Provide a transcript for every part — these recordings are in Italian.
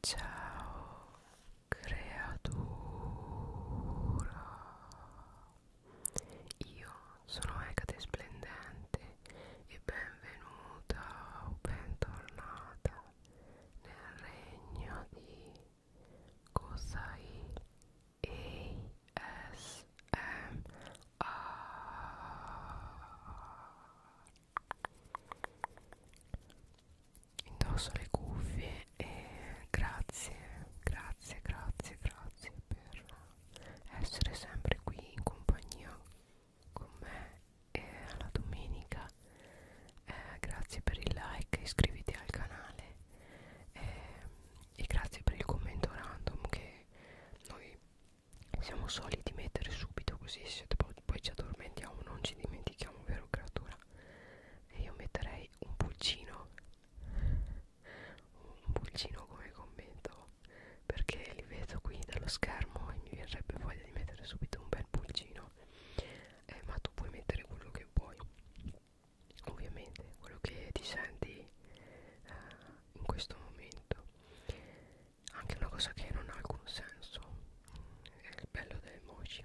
Ciao creatura Io sono Ecate Splendente e benvenuta o bentornata nel regno di Kosai ASMR indosso le cuffie e grazie grazie grazie grazie per essere sempre qui in compagnia con me e alla domenica eh, grazie per il like iscriviti al canale eh, e grazie per il commento random che noi siamo soliti mettere subito così se poi ci addormentiamo non ci dimentichiamo dimentichiamo vero creatura e io metterei un pulcino un pulcino come commento perché li vedo qui dallo schermo e mi verrebbe voglia di mettere subito un bel pulcino eh, ma tu puoi mettere quello che vuoi ovviamente quello che ti senti eh, in questo momento anche una cosa che non ha alcun senso è il bello delle moci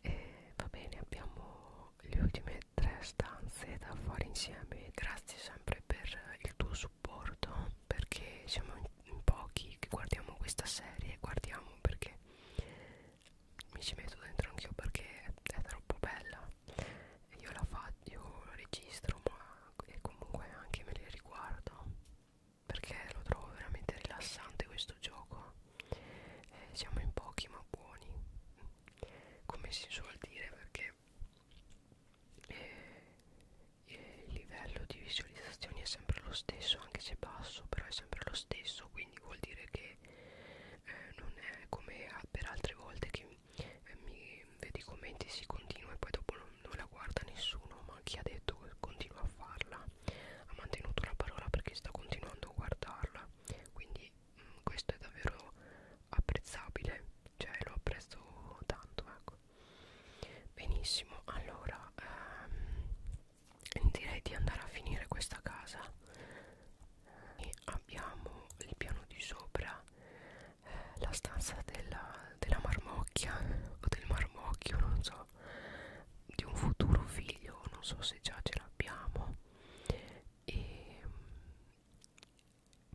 e va bene abbiamo le ultime tre stanze da fare insieme grazie sempre per il tuo supporto perché siamo in, in pochi che guardiamo questa serie guardiamo perché mi ci metto dentro anch'io perché è troppo bella io la faccio io la registro ma e comunque anche me le riguardo perché lo trovo veramente rilassante questo gioco eh, siamo in pochi ma buoni come si suol dire perché eh, il livello di visualizzazioni è sempre lo stesso anche se basso però è sempre lo stesso quindi vuol dire che eh, non è come per altre volte che eh, mi vedi i commenti si continua e poi dopo non, non la guarda nessuno ma chi ha detto continua a farla ha mantenuto la parola perché sta continuando a guardarla quindi mh, mm, questo è davvero apprezzabile cioè lo apprezzo tanto ecco benissimo allora ehm, direi di andare a finire questa casa e abbiamo il piano di sopra eh, la stanza della, della marmocchia o del marmocchio non so vita di un futuro figlio non so se già ce l'abbiamo e mm,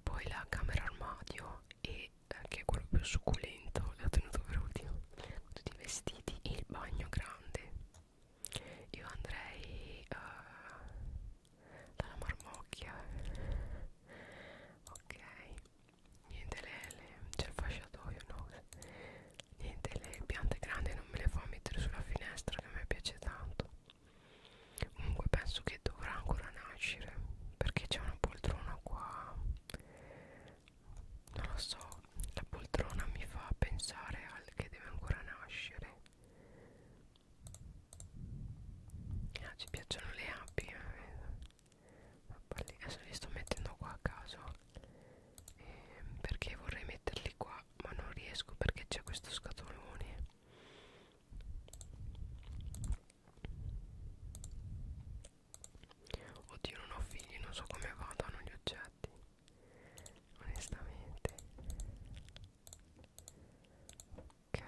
poi la camera armadio e anche quello più succulento l'ho tenuto per ultimo con tutti i vestiti e il bagno grande io andrei uh, dalla marmocchia ok niente le, le c'è il fasciatoio no niente le piante grandi non me le fa mettere sulla finestra che a me piace tanto comunque penso che dovrà ancora nascere perché c'è una poltrona qua non lo so la poltrona mi fa pensare al che deve ancora nascere ah, ci piacciono le api eh ma parli, adesso li sto mettendo qua a caso ehm, perché vorrei metterli qua ma non riesco perché c'è questo scatolone oddio non ho figli non so come vadano gli oggetti onestamente ok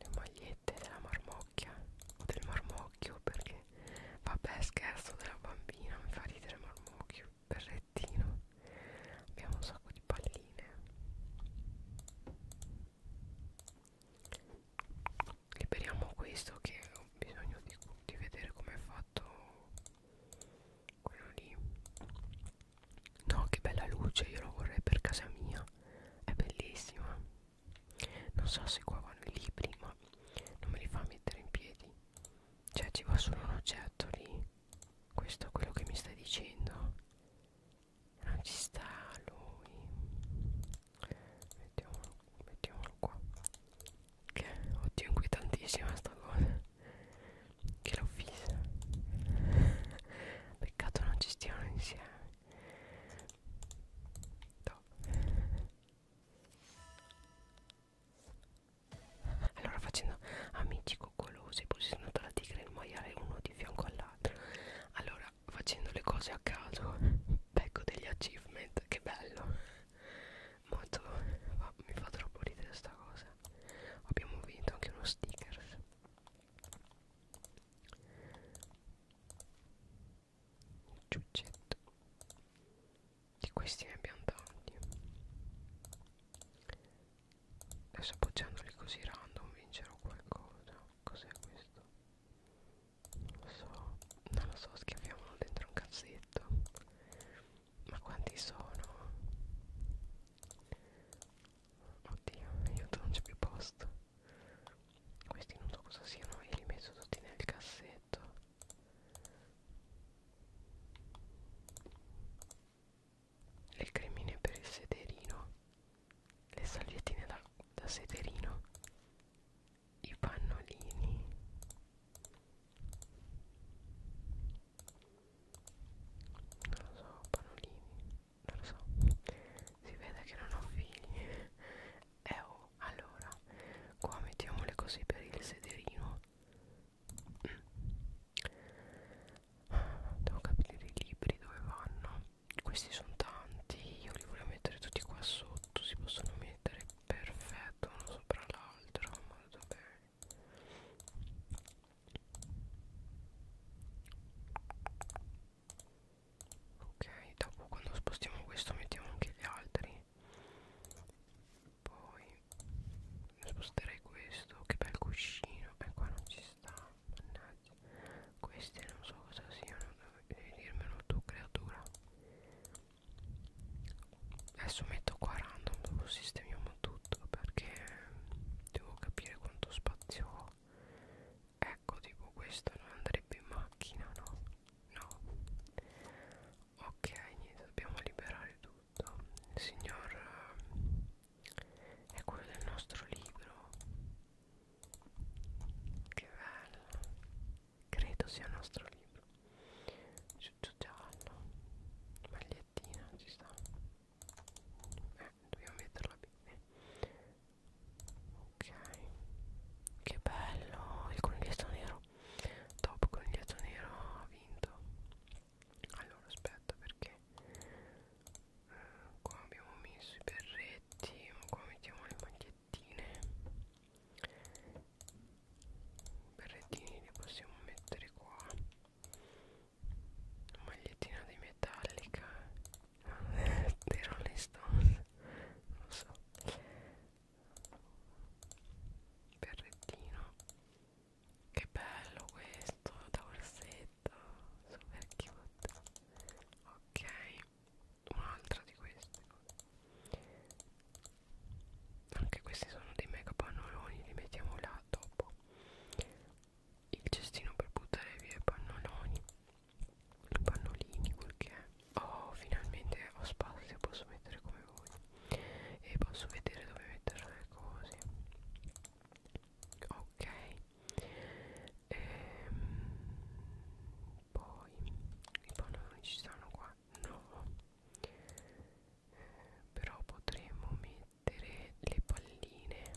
le magliette della marmocchia o del marmocchio perché vabbè scherzo della bambina mi fa ridere marmocchio berrettino abbiamo un sacco di palline liberiamo questo che ho bisogno di, di vedere come è fatto quello lì no che bella luce io lo vorrei per casa mia è bellissima non so se qua vanno i libri ma non me li fa mettere in piedi cioè ci va solo un oggetto lì questo è quello che mi stai dicendo non ci sta lui mettiamolo, mettiamolo qua che oddio inquietantissima sta cosa che l'ho fissa peccato non ci stiano insieme No. Allora facendo amici coccolosi, poi si sono andata la tigre e il maiale uno di fianco all'altro. Allora facendo le cose a caso, becco degli achievement, che bello. Molto, ma mi fa troppo ridere sta cosa. Abbiamo vinto anche uno sticker ciuccetto di questi ne abbiamo tanti adesso appoggiandoli così random vincerò qualcosa cos'è questo? non lo so non lo so schiaffiamolo dentro un cazzetto ma quanti sono? Oddio, aiuto, non c'è più posto. Questi non so cosa siano e li metto tutti nel cassetto. Le cremine per il sederino. Le salviettine da, da sederino. I pannolini. Non lo so, pannolini non lo so si vede che non ho figli eh oh allora qua mettiamole così per il sederino mm. devo capire i libri dove vanno questi sono tanti io li volevo mettere tutti qua sotto si possono mettere perfetto uno sopra l'altro molto bene ok dopo quando spostiamo questo mettiamo anche gli altri poi sposterei questo che bel cuscino e eh, qua non ci sta mannaggia queste non so cosa siano devi dirmelo tu creatura adesso metto qua random dopo sistemiamo tutto perché devo capire quanto spazio ho ecco tipo questo non andrebbe in macchina no no ok niente dobbiamo liberare tutto il signor eh, è quello del nostro libro che bello credo sia il nostro libro giallo magliettina ci sta è dobbiamo metterla bene ok che bello il coniglietto nero top coniglietto nero ha vinto allora aspetta perché eh, qua abbiamo messo i berretti qua mettiamo le magliettine i berrettini li possiamo mettere qua magliettina di metallica dei Rolling Stones non so berrettino che bello questo da orsetto super cute ok un'altra di queste anche questi sono dei mega pannoloni li mettiamo là dopo il cestino per buttare via i pannoloni i pannolini quel che è oh finalmente ho spazio posso mettere come voi e posso vedere dove mettere le cose ok ehm, poi i pannolini ci stanno qua no eh, però potremmo mettere le palline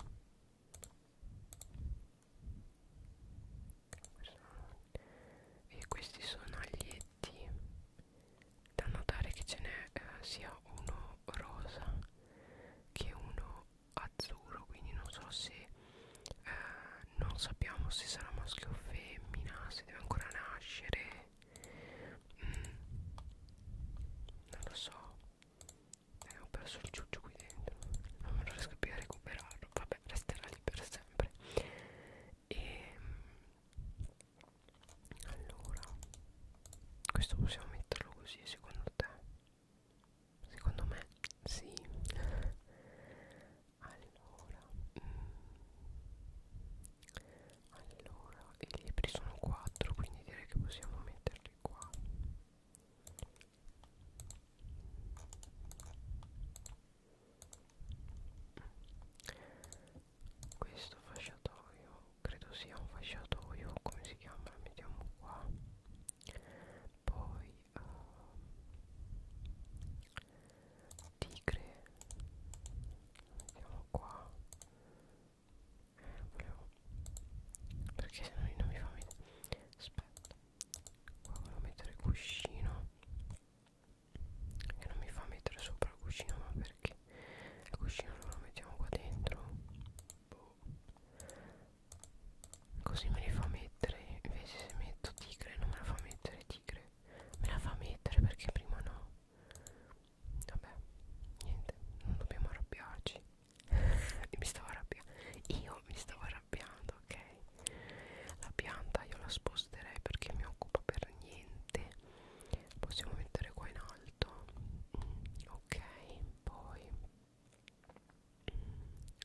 e questi sono aglietti da notare che ce n'è eh, sia uno rosa che uno azzurro quindi non so se eh, non sappiamo se sarà maschio o femmina se deve ancora nascere mm, non lo so e eh, ho perso il ciuccio qui dentro Non me lo riesco più a recuperarlo Vabbè resterà lì per sempre E ehm, Allora Questo possiamo metterlo così secondo te? Secondo me sì Allora mm, Allora i libri sono 4 quindi direi che possiamo metterli qua questo fasciatoio credo sia un fasciatoio come si chiama lo mettiamo qua poi uh, tigre lo mettiamo qua eh, volevo perché se no non mi fa vedere aspetta qua volevo mettere il cuscino che non mi fa mettere sopra il cuscino ma perché il cuscino allora lo mettiamo qua dentro boh. così me li fa mettere invece se metto tigre non me la fa mettere tigre me la fa mettere perché prima no vabbè niente non dobbiamo arrabbiarci mi stavo arrabbiando io mi stavo arrabbiando ok la pianta io la sposterei perché mi occupa per niente possiamo mettere qua in alto mm, ok poi mm,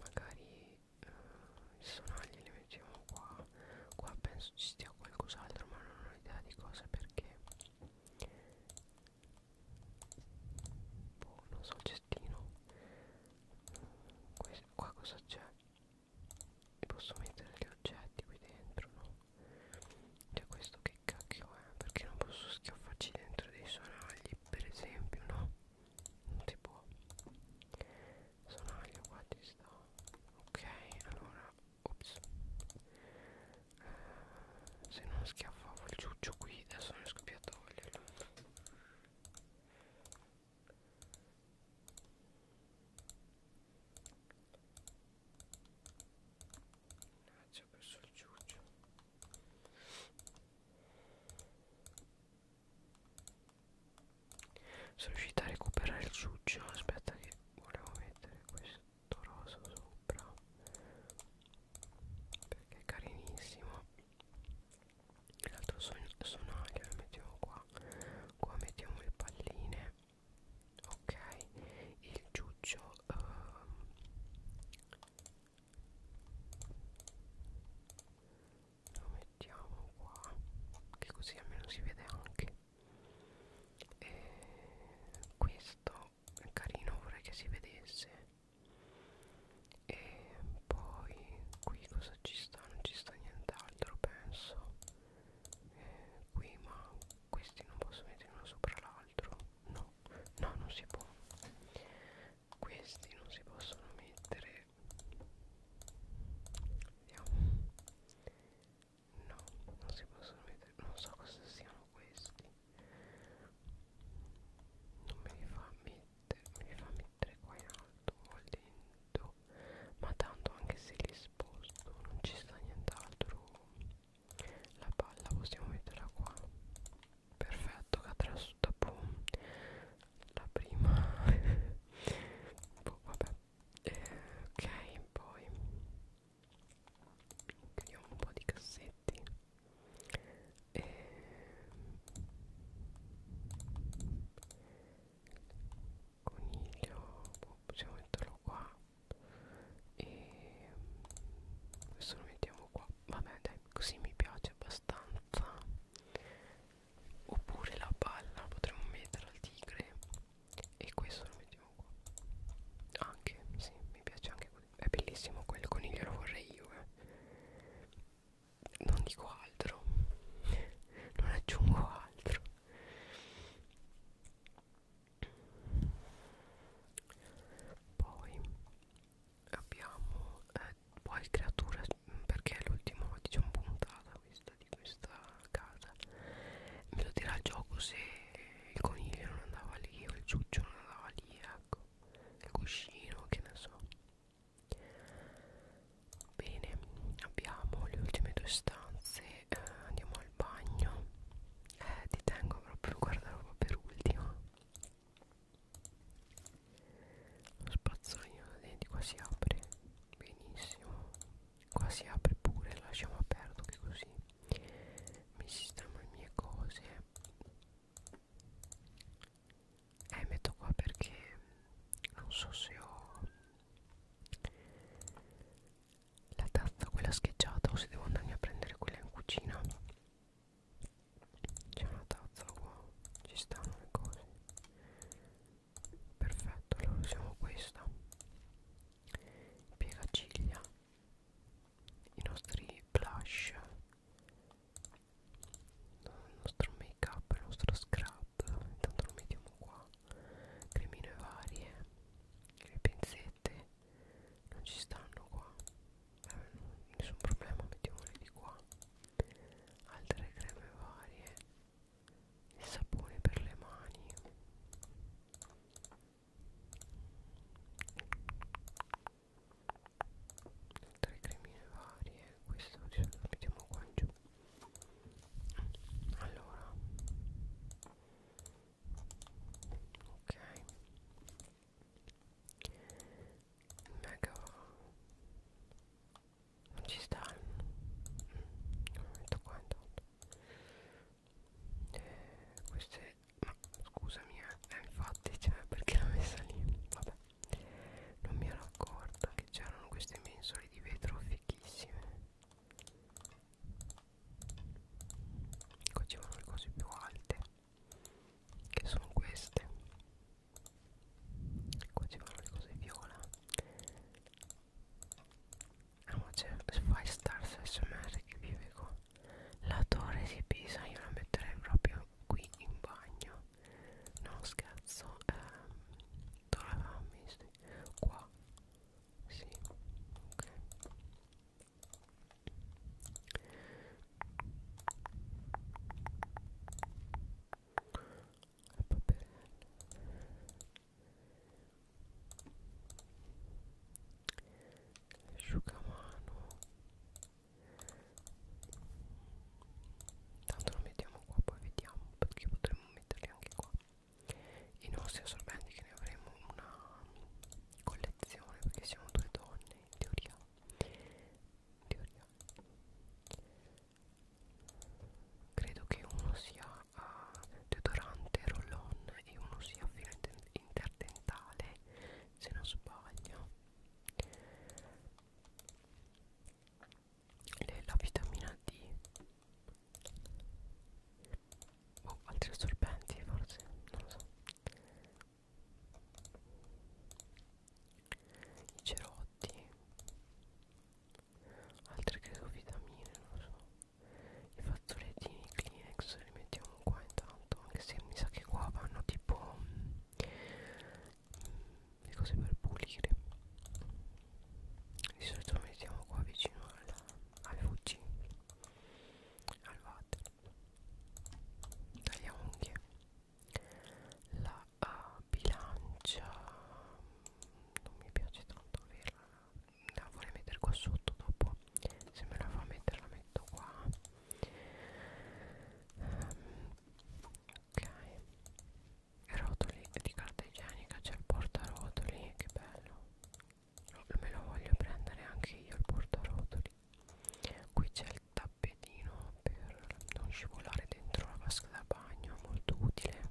magari eh, i sonagli li mettiamo qua qua penso ci stia qualcos'altro ma non ho idea di cosa perché boh, non so il cestino Questo, qua cosa c'è e posso mettere gli oggetti qui dentro no cioè questo che cacchio è perché non posso schiaffarci dentro dei sonagli per esempio no non si può sonaglio qua ci sta ok allora ops se non schiaffavo il ciuccio qui adesso non riesco più a toglierlo ci ho perso il ciuccio sono riuscita a recuperare il ciuccio aspetta che volevo mettere questo tutto rosa sopra perché è carinissimo l'altro son sonaglio lo mettiamo qua qua mettiamo le palline ok il ciuccio um, ehm, lo mettiamo qua che così almeno si vede anche e questo carino vorrei che si vedesse e poi qui cosa ci sta non ci sta nient'altro penso eh, qui ma questi non posso mettere uno sopra l'altro no no non si può questi non si possono mettere vediamo no non si possono mettere non so cosa siano questi non me li fa mettere me li fa mettere qua in alto o dentro ma tanto anche se li sposto non ci sta nient'altro la palla possiamo metterla qua perfetto cadrà su dopo la prima boh, vabbè eh, ok poi chiudiamo un po' di cassetti e coniglio boh, possiamo metterlo qua e questo lo mettiamo qua vabbè dai così mi piace abbastanza oppure la palla potremmo mettere al tigre e questo lo mettiamo qua anche sì mi piace anche è bellissimo quel coniglio lo vorrei io eh. non dico altro non aggiungo altro poi abbiamo eh, poi creatura mm, perché è l'ultima diciamo puntata questa di questa casa me lo dirà il gioco se il coniglio non andava lì o il ciuccio non andava lì, ecco, il cuscino, che ne so. Bene, abbiamo le ultime due stanze, eh, andiamo al bagno. Eh, ti tengo proprio il guardaroba per ultimo. Lo spazzolino da denti qua si apre, benissimo. Qua si apre pure, lasciamo aperto che così mi sistemo le mie cose eh metto qua perché non so se ho la tazza quella scheggiata o se devo andarmi a prendere quella in cucina c'è una tazza qua ci stanno le cose perfetto allora usiamo questa piegaciglia i nostri blush il nostro make up il nostro scrub intanto lo mettiamo qua cremine varie le pinzette non ci stanno qua eh, nessun problema mettiamole di qua altre creme varie il sapone per le mani altre cremine varie eh, questo di solito lo mettiamo qua in giù allora ok mega non ci stanno mm, lo metto qua intanto eh, queste no scusami eh, infatti cioè, perché l'ho messa lì vabbè non mi ero accorta che c'erano queste mensole di vetro fichissime qua ci vanno le cose più alte che sono queste qua ci vanno le cose viola ah ma c'è Five Stars SMR che vive qua la torre si pesa, io la metterei proprio qui in bagno. No scherzo, ehm, dove l'avevamo messa? Qua. Sì, ok. La paperella asciugamano tanto lo mettiamo qua poi vediamo perché potremmo metterli anche qua i nostri assorbenti che ne avremo una collezione perché siamo due donne in teoria in teoria credo che uno sia uh, deodorante roll on e uno sia filo interdentale se non sbaglio e la vitamina D o oh, altri assorbenti forse non lo so i cerotti altre credo vitamine non lo so i fazzolettini Kleenex li mettiamo qua intanto anche se mi sa che qua vanno tipo mh, mm, le cose per pulire di solito lo mettiamo qua vicino al, al fucci al water tagliamo unghie la uh, bilancia non mi piace tanto averla la vorrei mettere qua sotto dopo se me la fa mettere la metto qua um, ok rotoli di carta igienica c'è il portarotoli che bello me lo voglio prendere anche io il portarotoli qui c'è il tappetino per non scivolare dentro la vasca da bagno molto utile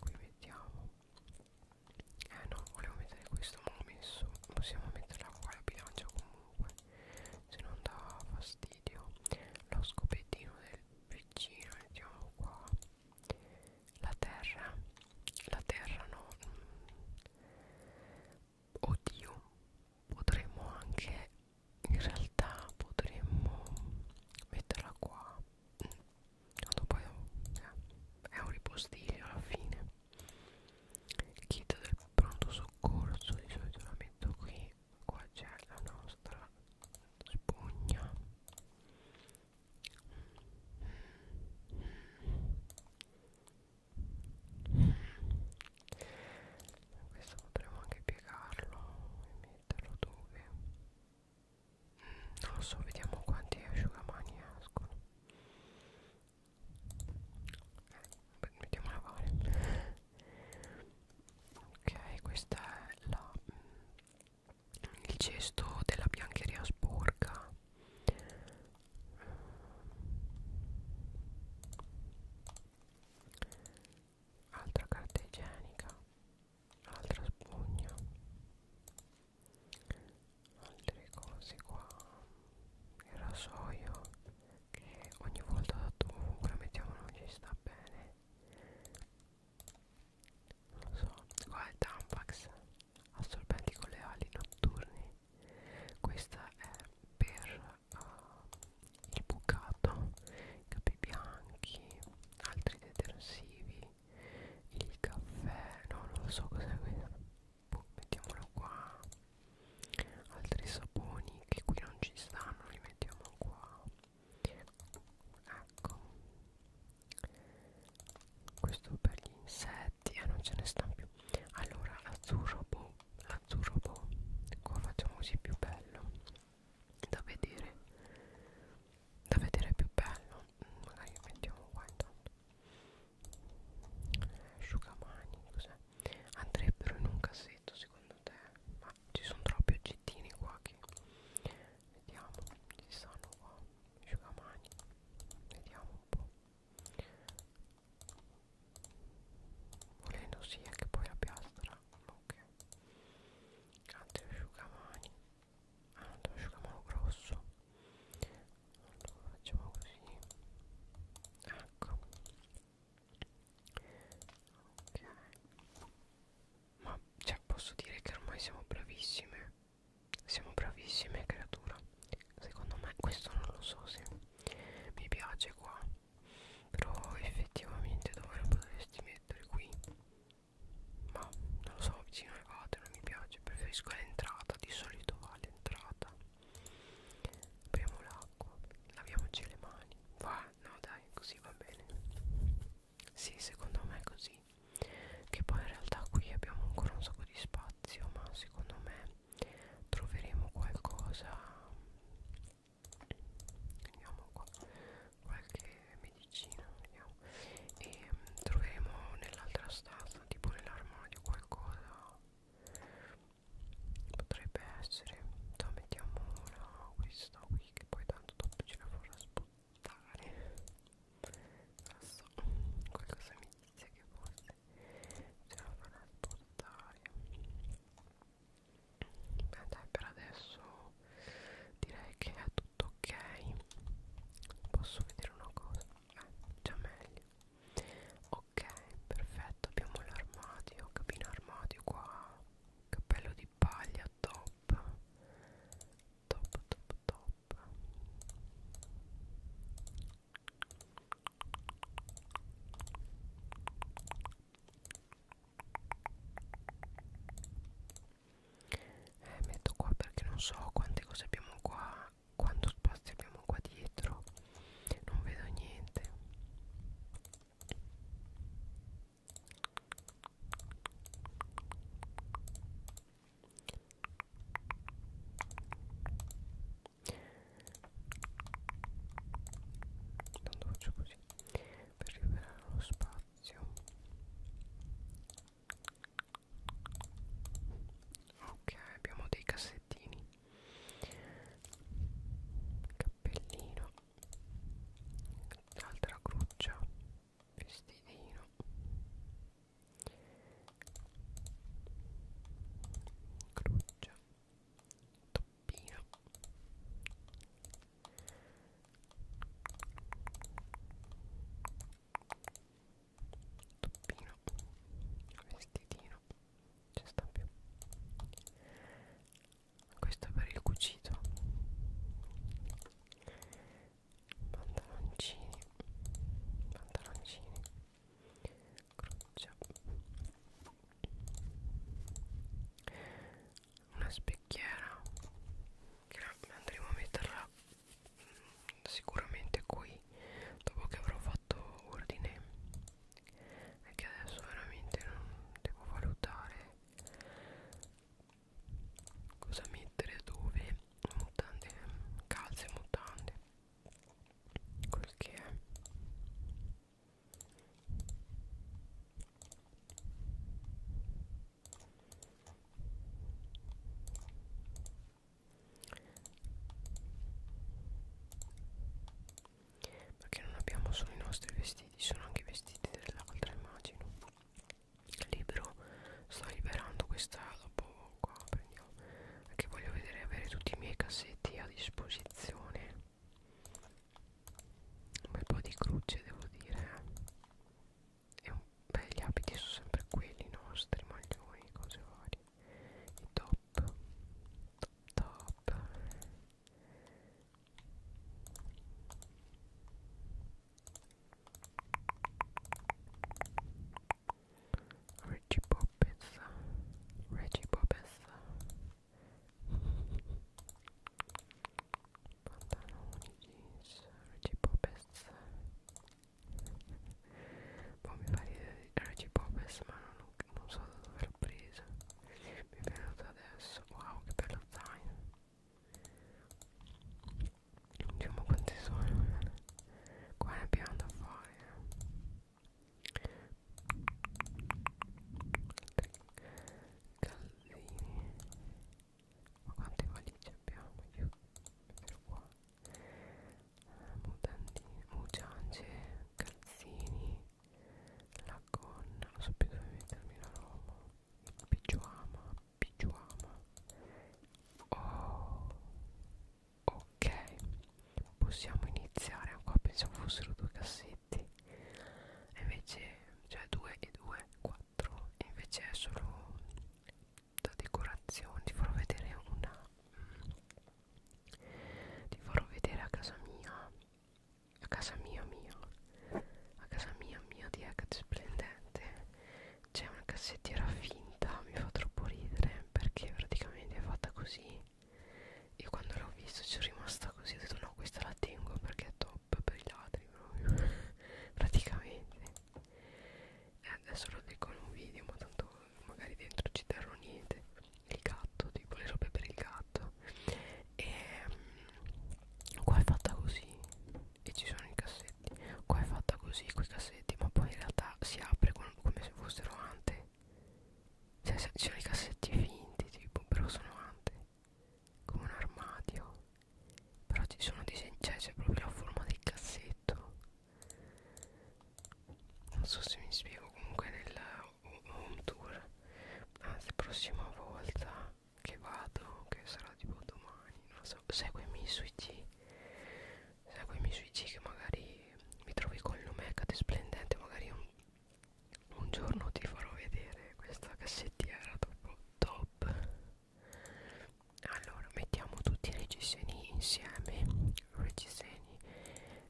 qui mettiamo eh no volevo mettere questo ma l'ho messo possiamo metterla qua la bilancia comunque se non dà fastidio lo scopettino del piccino mettiamo qua la terra la terra no mm. oddio potremmo anche in realtà potremmo metterla qua quando mm. poi eh, è un ripostiglio alla fine kit del pronto soccorso di solito la metto qui qua c'è la nostra spugna questo potremmo anche piegarlo e metterlo dove non lo so vediamo quanti asciugamani escono Beh, mettiamola a fare ok questa è la, mm, il cesto della biancheria sporca altra carta igienica altra spugna altre cose qua il rasoio che ogni volta dato comunque la mettiamo non ci sta bene non lo so qua è il tampax assorbenti con le ali notturni questa è per uh, il bucato i capi bianchi altri detersivi il caffè no non lo so cos'è questo boh, mettiamolo qua altri saponi che qui non ci stanno li mettiamo qua ecco questo per gli insetti e eh, non ce ne stanno più allora l'azzurro boh l'azzurro boh qua facciamo così più bello da vedere da vedere più bello magari mm, mettiamo qua intanto asciugamani cos'è andrebbero in un cassetto secondo te ma ci sono troppi oggettini qua che vediamo ci stanno qua asciugamani vediamo un po' volendo sia che poi la piastra ok altri asciugamani ah, un asciugamano grosso allora facciamo così ecco ok ma cioè posso dire che ormai siamo bravissime siamo bravissime creatura secondo me questo non lo so se mi piace qua però effettivamente dove lo potresti mettere qui ma non lo so vicino alle vate non mi piace preferisco l'entrata di solito vale all'entrata apriamo l'acqua laviamoci le mani va no dai così va bene sì secondo me è così che poi in realtà qui abbiamo ancora un sacco di spazio ma secondo me troveremo qualcosa vediamo qua qualche medicina vediamo e mm, troveremo nell'altra stanza tipo nell'armadio qualcosa potrebbe essere da mettiamo una questa qui che poi tanto dopo ce la farà sputtare non so qualcosa mi dice che forse ce la farà sputtare beh dai per adesso direi che è tutto ok posso vedere una cosa eh, già meglio ok perfetto abbiamo l'armadio cabina armadio qua cappello di paglia top top top top eh, metto qua perché non so quante cose abbiamo qua quanto spazio abbiamo qua dietro non vedo niente tanto faccio così per liberare lo spazio ok abbiamo dei cassettini cappellino l'altra cruccia vestitino cruccia toppino toppino vestitino ci sta più questo è per il cucito pantaloncini pantaloncini croce una specchiera che andremo a metterla sicuramente qui dopo che avrò fatto ordine è che adesso veramente non devo valutare cosa mettere dove mutande calze mutande quel che è perché non abbiamo solo i nostri vestiti sono anche i vestiti dell'altra immagino libero sto liberando questa dopo qua prendiamo perché voglio vedere avere tutti i miei cassetti a disposizione un bel po' di croce devo dire e eh. un beh gli abiti sono sempre quelli nostri maglioni cose varie i top top Reggie Poppins Reggie Poppins pantaloni jeans Reggie Poppins poi mi pare Reggie Popes ma non, non so da dove l'ho presa Mi è venuta adesso Wow che bello zaino Diciamo quante sono Qua ne abbiamo da fare Calzini eh. Ma quante valigie abbiamo? Io qua mutandine, mugiange, calzini, la gonna, non so più dove mettermi la roba, il pigiama, pigiama. Oh, ok, possiamo iniziare ancora, pensavo fossero due cassetti, invece, cioè due e due, quattro, invece è solo da decorazione ti farò vedere una mm, ti farò vedere a casa mia a casa mia mia a casa mia mia di Hecate Splendente c'è una cassettiera finta mi fa troppo ridere perché praticamente è fatta così io quando l'ho vista ci è rimasta così ho detto no questa la tengo perché è top per i ladri proprio praticamente eh, adesso lo dico in un video ma tanto magari dentro ci terrò niente il gatto tipo le robe per il gatto e um, qua è fatta così e ci sono i cassetti qua è fatta così quei cassetti ma poi in realtà si apre con, come se fossero ante cioè ci sono i cassetti finti tipo però sono ante come un armadio però ci sono disegni cioè c'è proprio la forma del cassetto non so se mi spiego comunque nel home tour anzi ah, prossima volta che vado che sarà tipo domani non so seguimi su IG seguimi su IG che magari mi trovi con l'Omecate splendente magari un, un giorno ti farò vedere questa cassettiera dopo top allora mettiamo tutti i reggiseni insieme reggiseni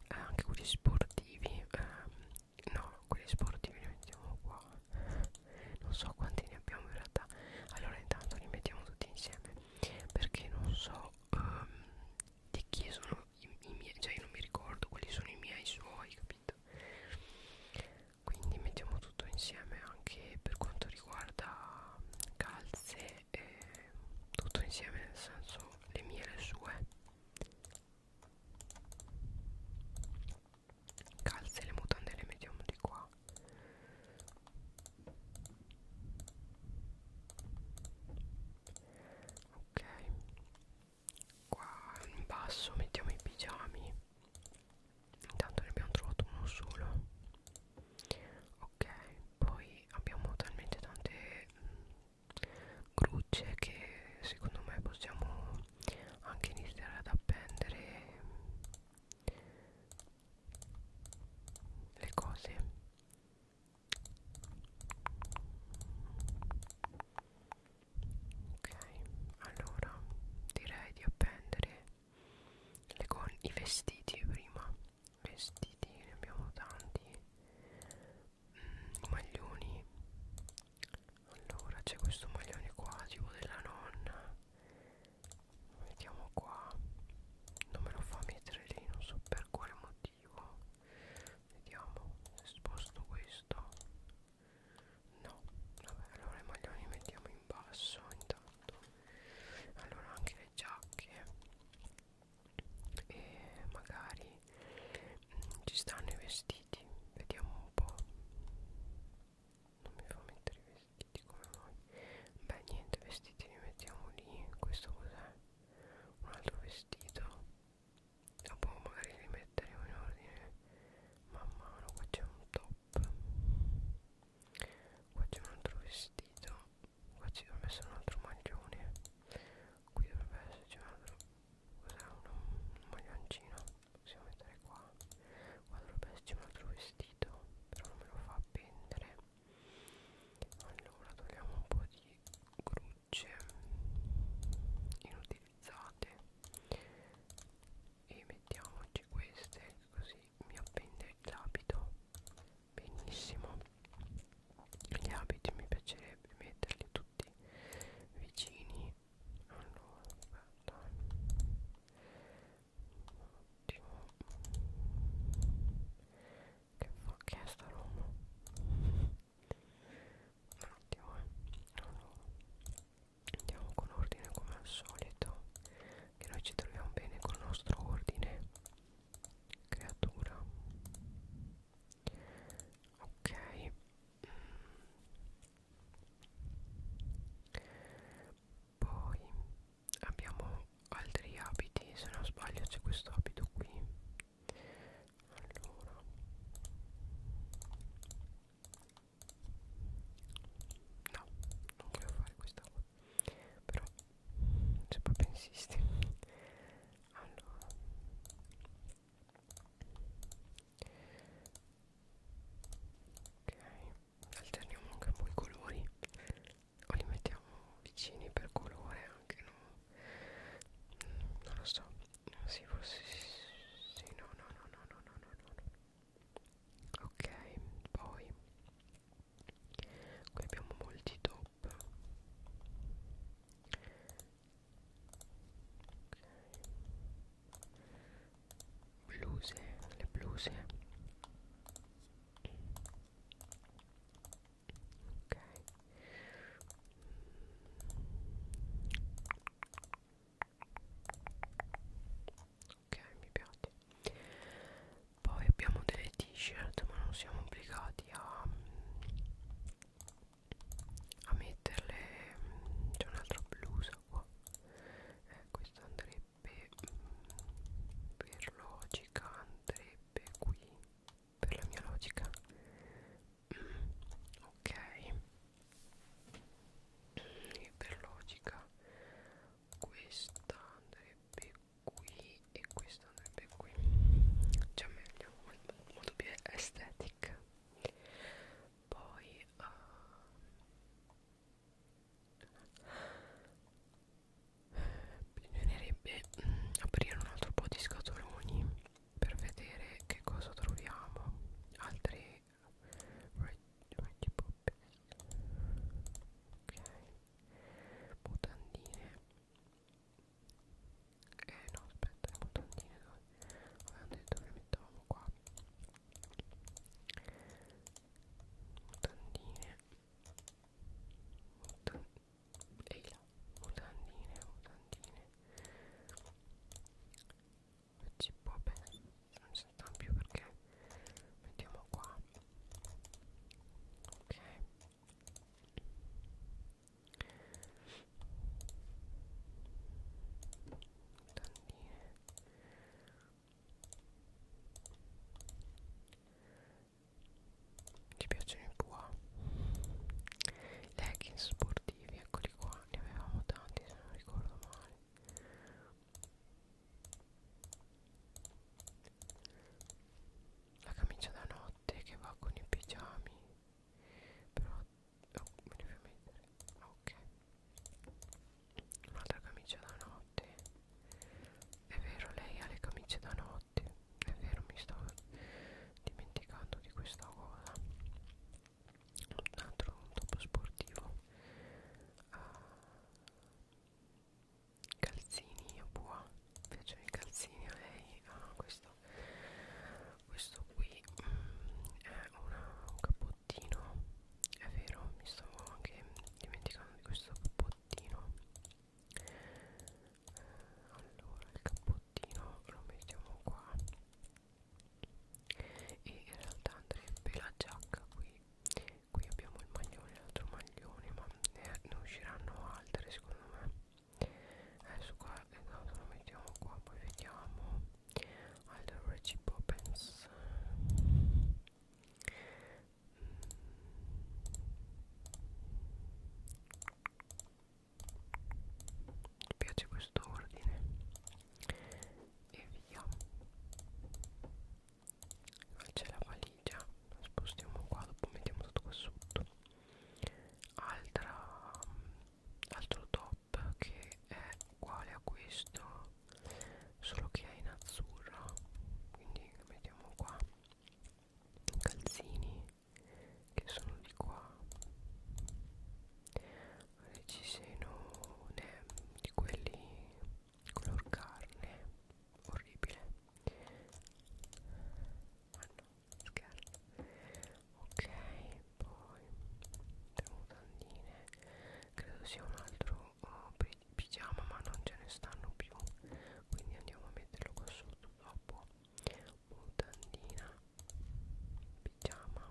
eh, anche quelli sportivi eh, no quelli sportivi li mettiamo qua non so quanti ne abbiamo in realtà allora intanto li mettiamo tutti insieme perché non so um, di chi sono i, i miei cioè io non mi ricordo quali sono i miei suoi capito quindi mettiamo tutto insieme anche per quanto riguarda calze e, e tutto insieme nel senso le mie e le sue calze le mutande le mettiamo di qua ok qua in basso mettiamo i pigiami intanto ne abbiamo trovato uno solo ok poi abbiamo talmente tante mh, mm, grucce che secondo me possiamo anche iniziare ad appendere mh, mm, le cose ok allora direi di appendere le con i vestiti prima vestiti ne abbiamo tanti mm, maglioni allora c'è questo maglione qua tipo della nonna lo mettiamo qua non me lo fa mettere lì non so per quale motivo vediamo se sposto questo no vabbè allora i maglioni li mettiamo in basso intanto fatto allora anche le giacche e magari mh, mm, ci stanno i vestiti vediamo un po' non mi fa mettere i vestiti come noi beh niente vestiti li mettiamo lì questo cos'è un altro vestito dopo ah, boh, magari li metteremo in ordine man mano qua c'è un top qua c'è un altro vestito qua ci dovrebbe essere un altro maglione qui dovrebbe esserci un altro cos'è un, un maglioncino possiamo mettere qua qua dovrebbe esserci un altro vestito però non me lo fa appendere allora togliamo un po' di grucce inutilizzate e mettiamoci queste così mi appende l'abito benissimo gli abiti mi piacerebbe metterli tutti vicini allora guarda ottimo che fa che è sta roba un attimo eh allora andiamo con ordine come al solito che noi ci troviamo bene col nostro ordine creatura ok poi abbiamo altri abiti se non sbaglio c'è questo abito qui allora no non volevo fare questa qua però se cioè, poi pensisti allora ok alterniamo anche un po' i colori o li mettiamo vicini per colore anche no mm, non lo so sì forse sì no no no no no no no no ok poi qui abbiamo molti top ok bluse le bluse ok ok mi piace poi abbiamo delle t-shirt ma non siamo obbligati a, a metterle mm, c'è un'altra blusa qua eh, questa andrebbe mm, per logica andrebbe qui per la mia logica mm, ok e per logica questa andrebbe qui e questo andrebbe qui cioè meglio molto, molto più estetica poi uh, bisognerebbe mm, aprire un altro po' di scatoloni per vedere che cosa troviamo altri ok mutandine eh no aspetta le mutandine dove avevamo detto che le mettavamo qua mutandine mutan ehi là mutandine mutandine ci può bene non si sentano più perché mettiamo qua ok tannine ci piacciono i qua leggings sportivi eccoli qua ne avevamo tanti se non ricordo male la camicia da notte che va con i pigiami però oh, me li devo mettere ok un'altra camicia da notte è vero lei ha le camicie da notte è vero mi sto dimenticando di questa cosa un altro un topo sportivo uh, calzini a bua piacciono i calzini a lei ah, questo questo qui mm, è una, un cappottino è vero mi stavo anche dimenticando di questo cappottino allora il cappottino lo mettiamo qua e in realtà andrebbe la giacca qui qui abbiamo il maglione l'altro maglione ma ne, eh, ne usciranno altre secondo me adesso qua esatto, lo mettiamo qua poi vediamo allora ci può pensare mi piace questo ordine e via c'è la valigia la spostiamo qua dopo mettiamo tutto qua sotto Altra, mm, altro top che è uguale a questo solo che è in azzurro quindi mettiamo qua calzini che sono di qua ci sono di quelli color carne orribile ma ah, no scherzo ok poi tantine credo sia un altro oh, pigiama ma non ce ne stanno più quindi andiamo a metterlo qua sotto dopo mutandina pigiama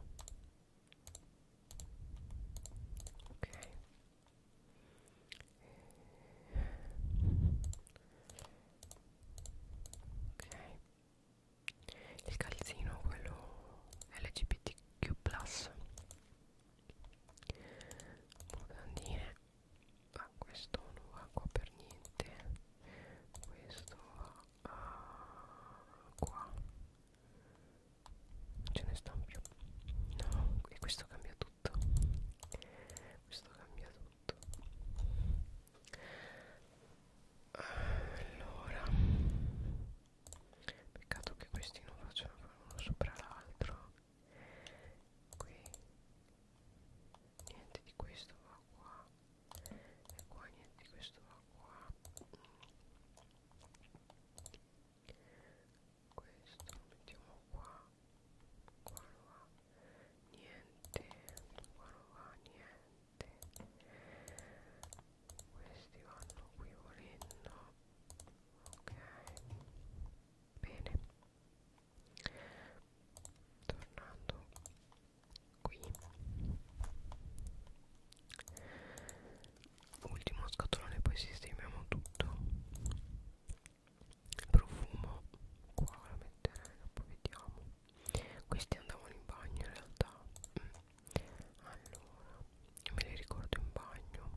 ok ok il calzino quello LGBTQ mutandine ma ah, questo non va qua per niente questo va ah, qua ce ne sta più no e questo cambia tutto questo cambia tutto allora peccato che questi non facciano uno sopra l'altro qui niente di questo va qua e qua niente di questo va qua questo lo mettiamo qua qua non va niente qua non va niente questi vanno qui volendo ok bene tornando qui ultimo scatolone poi sistemiamo tutto profumo qua la metterei dopo vediamo questi andavano in bagno in realtà mm. allora me li ricordo in bagno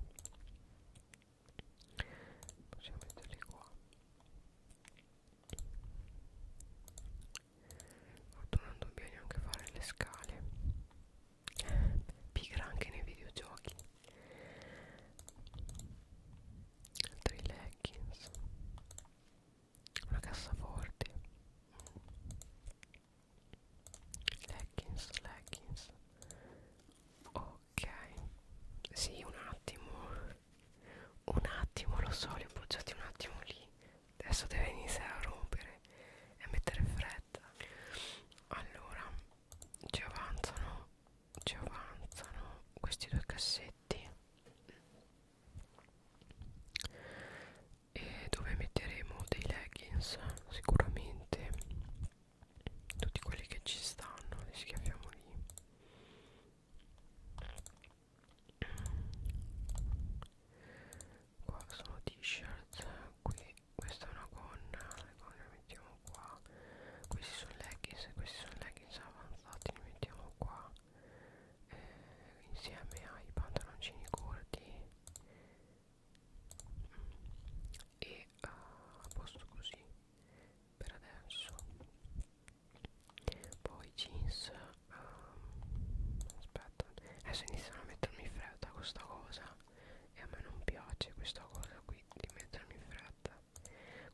possiamo metterli qua Fortuna non dobbiamo neanche fare le scale pigra anche nei videogiochi altri leggings una cassaforte leggings leggings ok sì un attimo un attimo lo so li ho appoggiati un attimo lì adesso deve iniziare a rompere e a mettere fretta allora ci avanzano ci avanzano questi due cassetti e dove metteremo dei leggings sicuramente tutti quelli che ci stanno li schiaffiamo lì qua sono t-shirt qui questa è una gonna le gonne le mettiamo qua questi sono leggings questi sono leggings avanzati li mettiamo qua eh, insieme ai pantaloncini corti e uh, a posto così per adesso poi jeans um, aspetta adesso iniziano a mettermi fredda questa cosa e a me non piace questa cosa qui di mettermi in fretta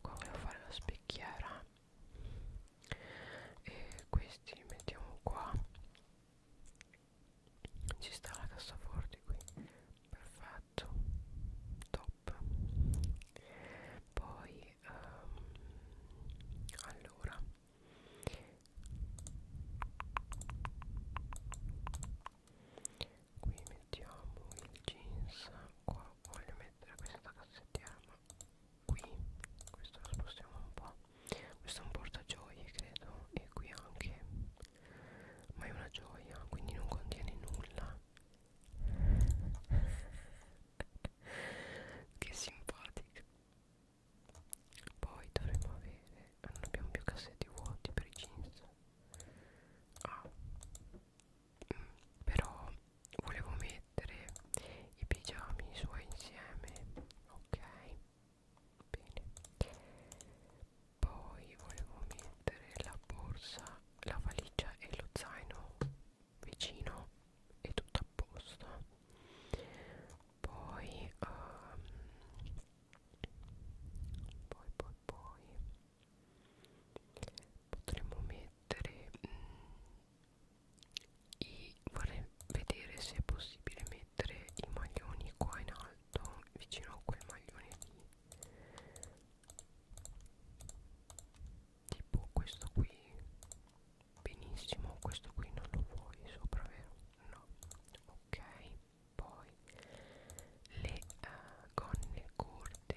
qua volevo fare la specchiera e questi li mettiamo qua ci sta la cassaforte qui perfetto top poi um, allora qui mettiamo il jeans qua voglio mettere questa cassettiera ma qui questo lo spostiamo un po' questo è un portagioie credo e qui anche ma è una gioia quindi non contiene nulla che simpatica poi dovremmo avere non abbiamo più cassetti vuoti per i jeans ah però volevo mettere i pigiami suoi insieme ok bene poi volevo mettere la borsa la valigia e lo zaino vicino e tutto a posto poi um, poi poi poi potremmo mettere mh, mm, i vorrei vedere se è possibile mettere i maglioni qua in alto vicino a quel maglione lì tipo questo qui benissimo questo qui non lo vuoi sopra vero no ok poi le uh, gonne corte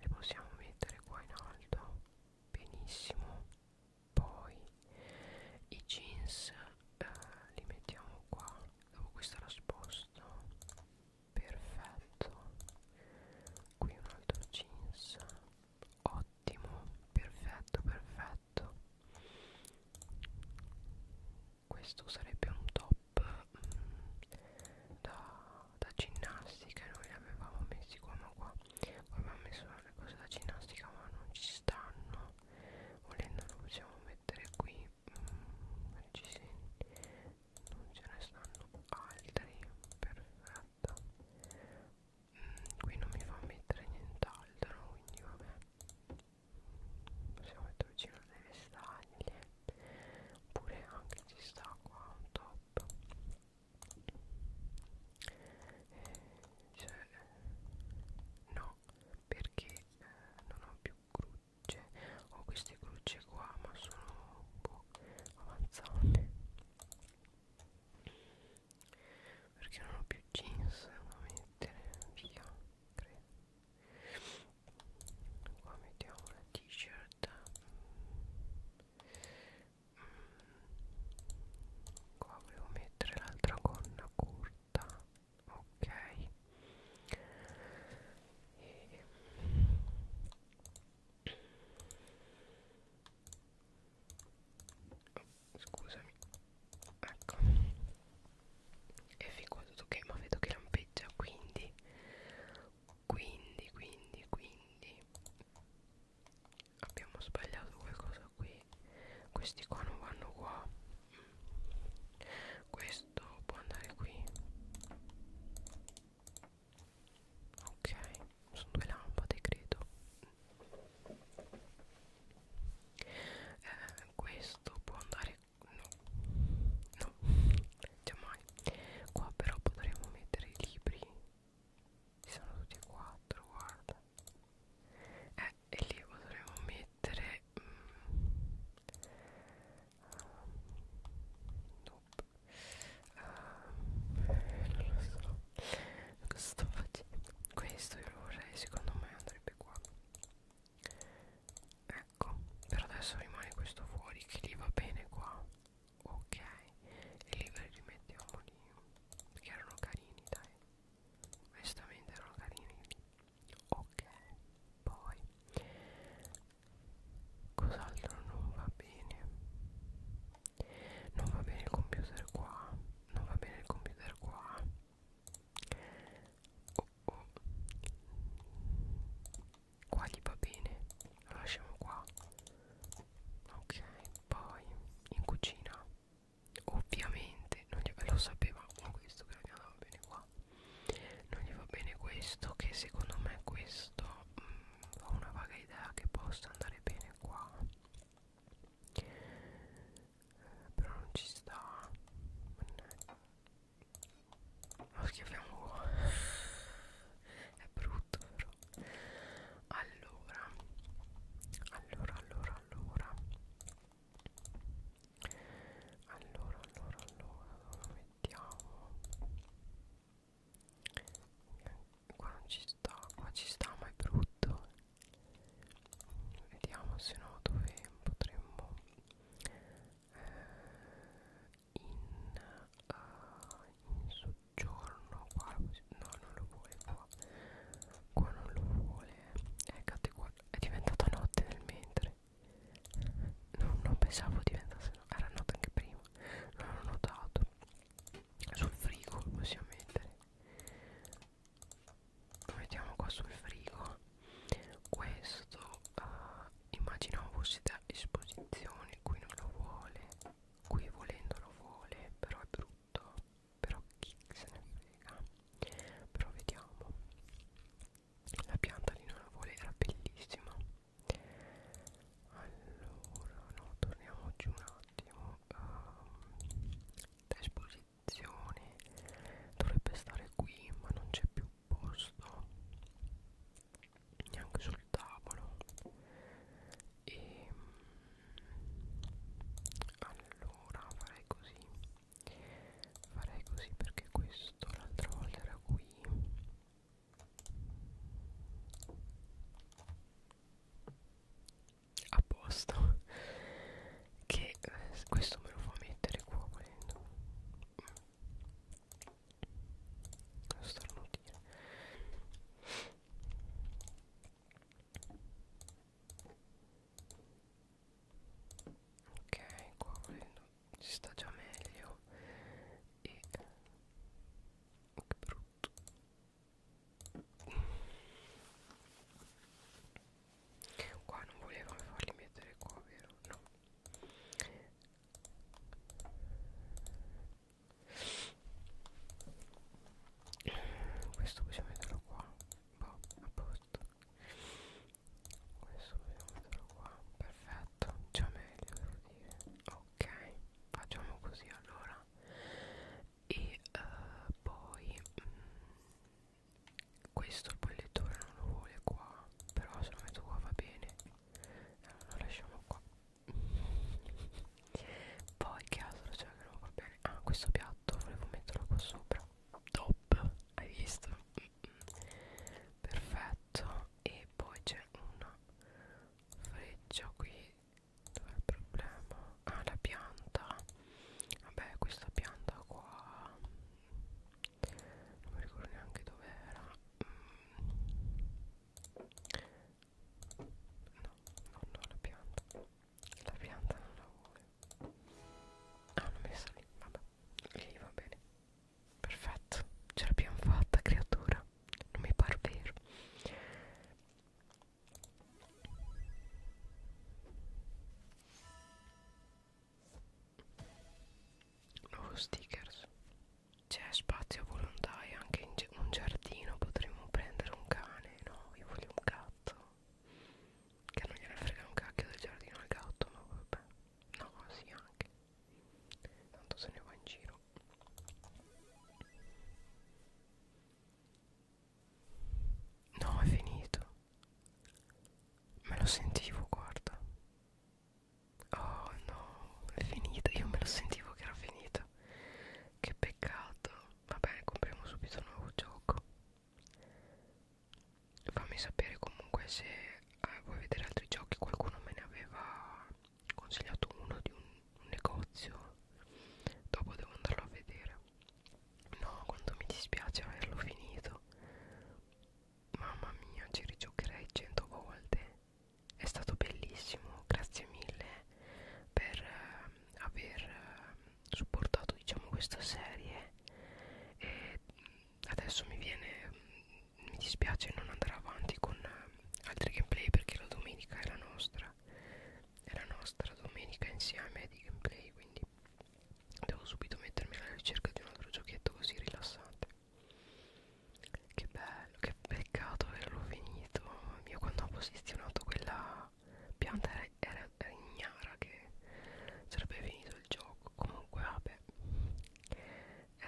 le possiamo mettere qua in alto benissimo poi i jeans uh, li mettiamo qua dopo questa la sposto perfetto qui un altro jeans ottimo perfetto perfetto questo sarebbe un top mm, da, da ginnastica noi li avevamo messi qua ma qua avevamo messo le cose da ginnastica ma non ci stanno volendo lo possiamo mettere qui mm, ci non ce ne stanno altri perfetto mm, qui non mi fa mettere nient'altro quindi vabbè possiamo mettere vicino delle staglie oppure anche ci sta qua un top eh, cioè, no perché eh, non ho più cruce ho queste cruce qua ma sono un po' avanzate perché non ho più jeans da mettere via credo qua mettiamo la t-shirt mm. qua volevo mettere l'altra gonna corta ok e scusami ecco e fin qua tutto ok ma vedo che lampeggia quindi quindi quindi quindi abbiamo sbagliato qualcosa qui questi qua non vanno qua mm. questo può andare qui ok sono due lampade credo eh, questo può andare no no mai qua però potremmo mettere i libri ci sono tutti e quattro guarda eh, e lì potremmo mettere mm, um, nope. um, non lo so cosa sto facendo questo io lo vorrei secondo me andrebbe qua ecco per adesso rimane questo fuori che lì va bene qua ok e lì li rimettiamo lì perché erano carini dai onestamente erano carini lì ok poi cos'altro non va bene non va bene il computer qua non va bene il computer qua oh, oh. qua gli va bene lo lasciamo qua ok poi in cucina ovviamente non gli, lo sapevamo questo che non gli andava bene qua non gli va bene questo che secondo me questo mh, mm, ho una vaga idea che possa andare bene qua eh, però non ci sta lo schiaffiamo qua è brutto però allora allora allora allora allora allora allora dove mettiamo qua non ci sta qua ci sta ma è brutto vediamo se no dove potremmo eh, in, uh, in soggiorno qua no non lo vuole qua qua non lo vuole eccate eh, qua è diventata notte nel mentre non, non pensavo diventasse notte era notte anche prima non ho notato sul frigo lo possiamo mettere lo mettiamo qua sul frigo questo uh, eh, immaginavo fosse da esposizione qui non lo vuole qui volendo lo vuole però è brutto però chi se ne frega però vediamo la pianta lì non la vuole era bellissima allora no torniamo giù un attimo um, da esposizione stazione dovrebbe stare qui ma non c'è più posto neanche sul tavolo e mm, allora farei così farei così perché questo l'altra volta era qui a posto che eh, questo me lo fa mettere qua volendo lo starnutire ok qua volendo si sta già meglio e che brutto qua non volevano farli mettere qua vero no questo possiamo metterlo qua boh a posto questo possiamo metterlo qua perfetto già meglio devo dire ok facciamo così allora e uh, poi mm, questo il bollettore non lo vuole qua però se lo metto qua va bene allora eh, lo lasciamo qua poi che altro c'è che non va bene ah questo piatto volevo metterlo qua sopra top hai visto perfetto e poi c'è una freccia qui dov'è il problema ah la pianta vabbè questa pianta qua non mi ricordo neanche dove era mm. no no no la pianta la pianta non la vuole ah l'ho messa lì vabbè lì va bene perfetto ce l'abbiamo fatta creatura non mi par vero nuovo stickers c'è spazio a volontà e anche in un giardino potremmo prendere un cane no io voglio un gatto che non gliene frega un cacchio del giardino al gatto ma vabbè no sì anche tanto se ne va in giro no è finito Me lo sentivo, guarda. Oh no, è finita. Io me lo sentivo che era finita. Che peccato. Vabbè, compriamo subito un nuovo gioco. Fammi sapere comunque se eh, vuoi vedere altri giochi. Qualcuno me ne aveva consigliato uno di un, un negozio. Dopo devo andarlo a vedere. No, quanto mi dispiace averlo finito. Mamma mia, ci rigiocherei cento volte. È stato bellissimo, grazie mille per eh, aver eh, supportato diciamo questa serie e adesso mi viene mi dispiace non andare avanti con eh, altri gameplay perché la domenica è la nostra è la nostra domenica insieme di gameplay quindi Devo subito mettermi alla ricerca di un altro giochetto così rilassante. Che bello, che peccato averlo finito. Io quando ho posizionato quella pianta era, era, era ignara che sarebbe finito il gioco. Comunque vabbè. Eh,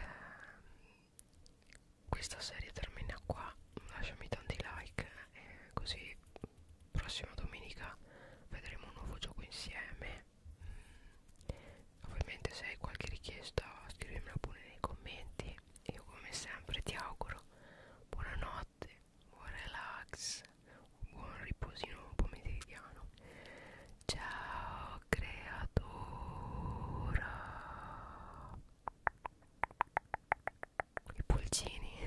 questa serie termina qua. Lasciami tanti like eh, così prossima domenica vedremo un nuovo gioco insieme mm. ovviamente se hai qualche richiesta scrivimela pure nei commenti io come sempre ti auguro buonanotte buon relax un buon riposino pomeridiano ciao creatura i pulcini